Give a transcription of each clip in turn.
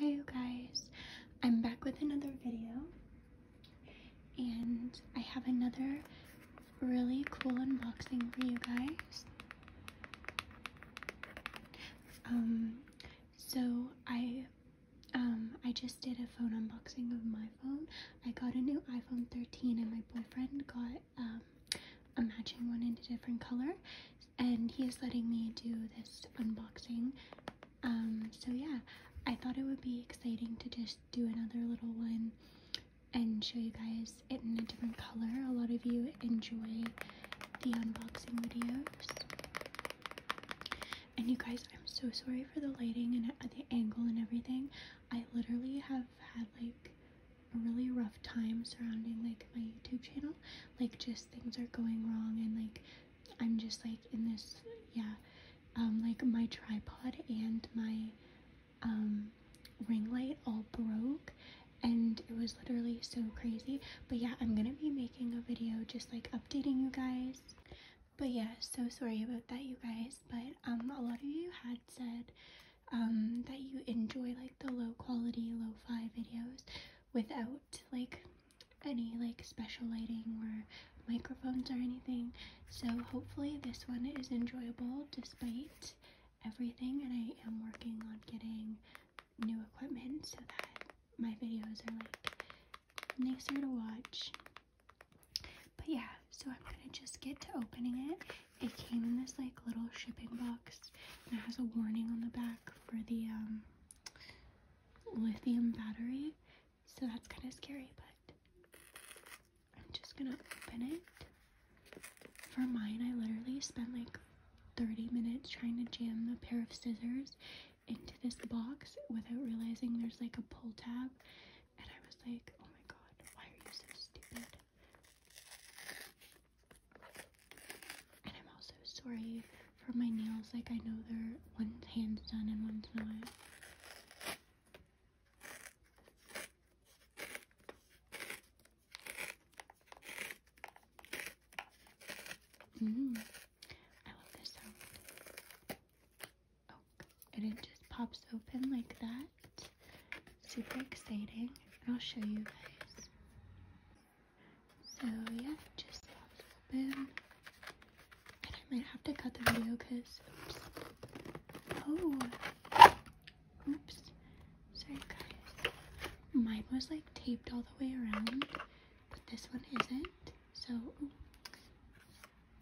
Hi you guys, I'm back with another video and I have another really cool unboxing for you guys. Um, so I, um, I just did a phone unboxing of my phone. I got a new iPhone 13 and my boyfriend got, um, a matching one in a different color and he is letting me do this unboxing. Um, so yeah, I thought it would be exciting to just do another little one and show you guys it in a different color. A lot of you enjoy the unboxing videos. And you guys, I'm so sorry for the lighting and the angle and everything. I literally have had like a really rough time surrounding like my YouTube channel like just things are going wrong and like I'm just like in this yeah um like my tripod and my um ring light all broke and it was literally so crazy but yeah I'm gonna be making a video just like updating you guys but yeah so sorry about that you guys but um a lot of you had said um that you enjoy like the low quality lo-fi videos without like any like special lighting or microphones or anything so hopefully this one is enjoyable despite everything and I am working on getting new equipment so that my videos are like nicer to watch but yeah so I'm gonna just get to opening it it came in this like little shipping box and it has a warning on the back for the um lithium battery, so that's kind of scary, but I'm just gonna open it. For mine, I literally spent like 30 minutes trying to jam a pair of scissors into this box without realizing there's like a pull tab, and I was like, oh my god, why are you so stupid? And I'm also sorry for my nails. Like, I know they're one hand's done and one's not. Mm, I love this Oh, and it just pops open like that. Super exciting. And I'll show you guys. So yeah, just a little bit. And I might have to cut the video because, oops. Oh, oops. Sorry guys. Mine was like taped all the way around, but this one isn't. So, ooh.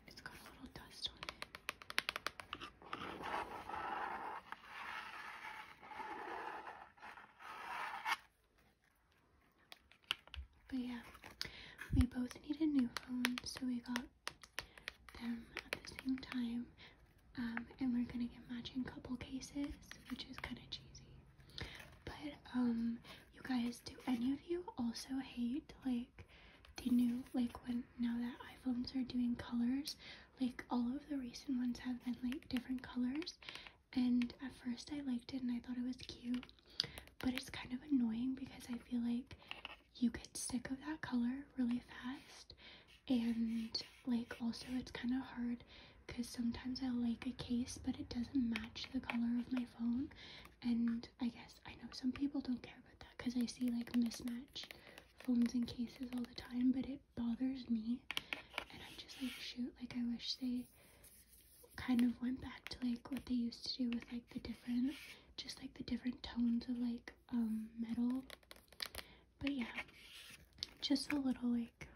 it's got a little dust on it. But yeah, we both needed new phones, so we got them at the same time. Um, and we're gonna get matching couple cases, which is kind of cheesy. But um, you guys, do any of you also hate like the new like when now that iPhones are doing colors? Like all of the recent ones have been like different colors, and at first I liked it and I thought it was cute, but it's kind of annoying because I feel like you get sick of that color really fast and like also it's kind of hard because sometimes I like a case but it doesn't match the color of my phone and I guess I know some people don't care about that because I see like mismatch phones and cases all the time but it bothers me and i just like shoot like I wish they kind of went back to like what they used to do with like the different just like the different tones of like um metal but yeah just a little like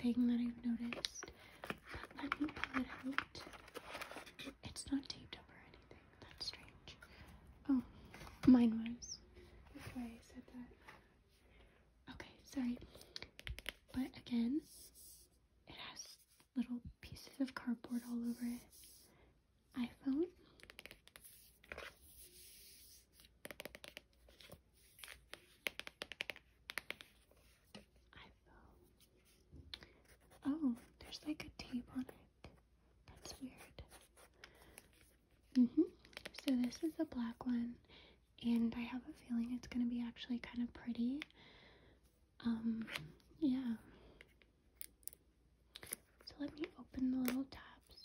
thing that I've noticed but let me pull it out it's not taped up or anything that's strange oh mine was that's why I said that Okay, sorry. But again, it has little pieces of cardboard all over it. iPhone. iPhone. Oh, there's like a tape on it. That's weird. Mm hmm So this is the black one, and I have a feeling it's going to be actually kind of pretty. Um, yeah. So let me open the little tabs.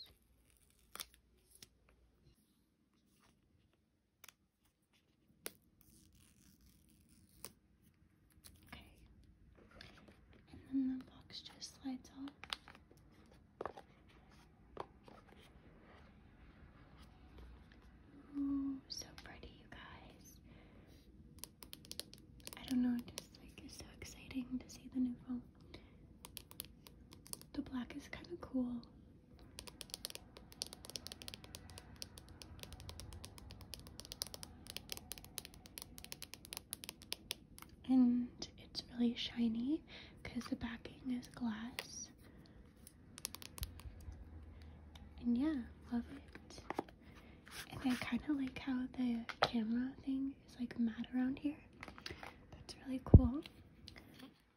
Okay. And then the box just slides off so pretty, you guys. I don't know, just like it's so exciting to see the new phone. The black is kind of cool and it's really shiny because the backing is glass. And yeah, love it. And I kind of like how the camera thing is like matte around here. That's really cool.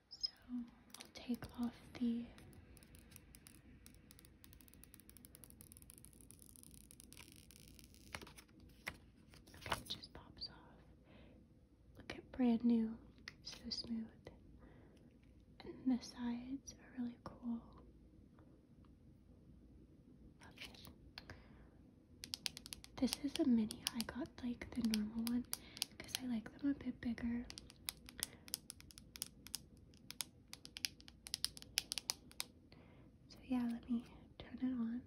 So I'll take off the Okay, it just pops off. Look at brand new, so smooth. And the sides are really cool. Love it. This is a mini. I got like the normal one because I like them a bit bigger. So yeah, let me turn it on.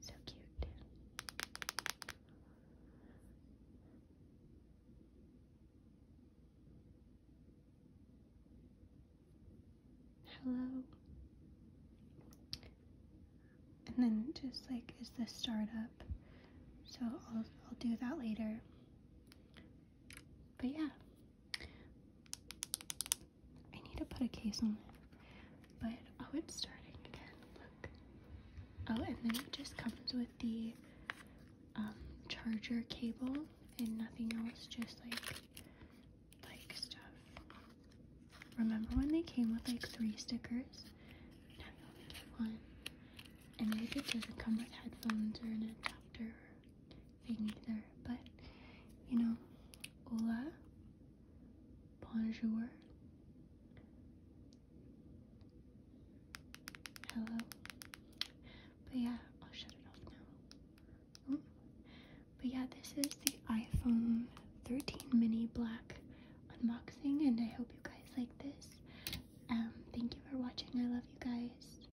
So cute. Hello. And then just like is the startup. So I'll I'll do that later. But yeah. I need to put a case on it. But oh, it's starting again. Look. Oh, and then it just comes with the um, charger cable and nothing else. Just like like stuff. Remember when they came with like three stickers? Now you only get one. And maybe it doesn't come with headphones or an adapter thing either, but you know, hola, bonjour, hello. But yeah, I'll shut it off now. But yeah, this is the iPhone 13 mini black unboxing, and I hope you guys like this. Um, thank you for watching. I love you guys.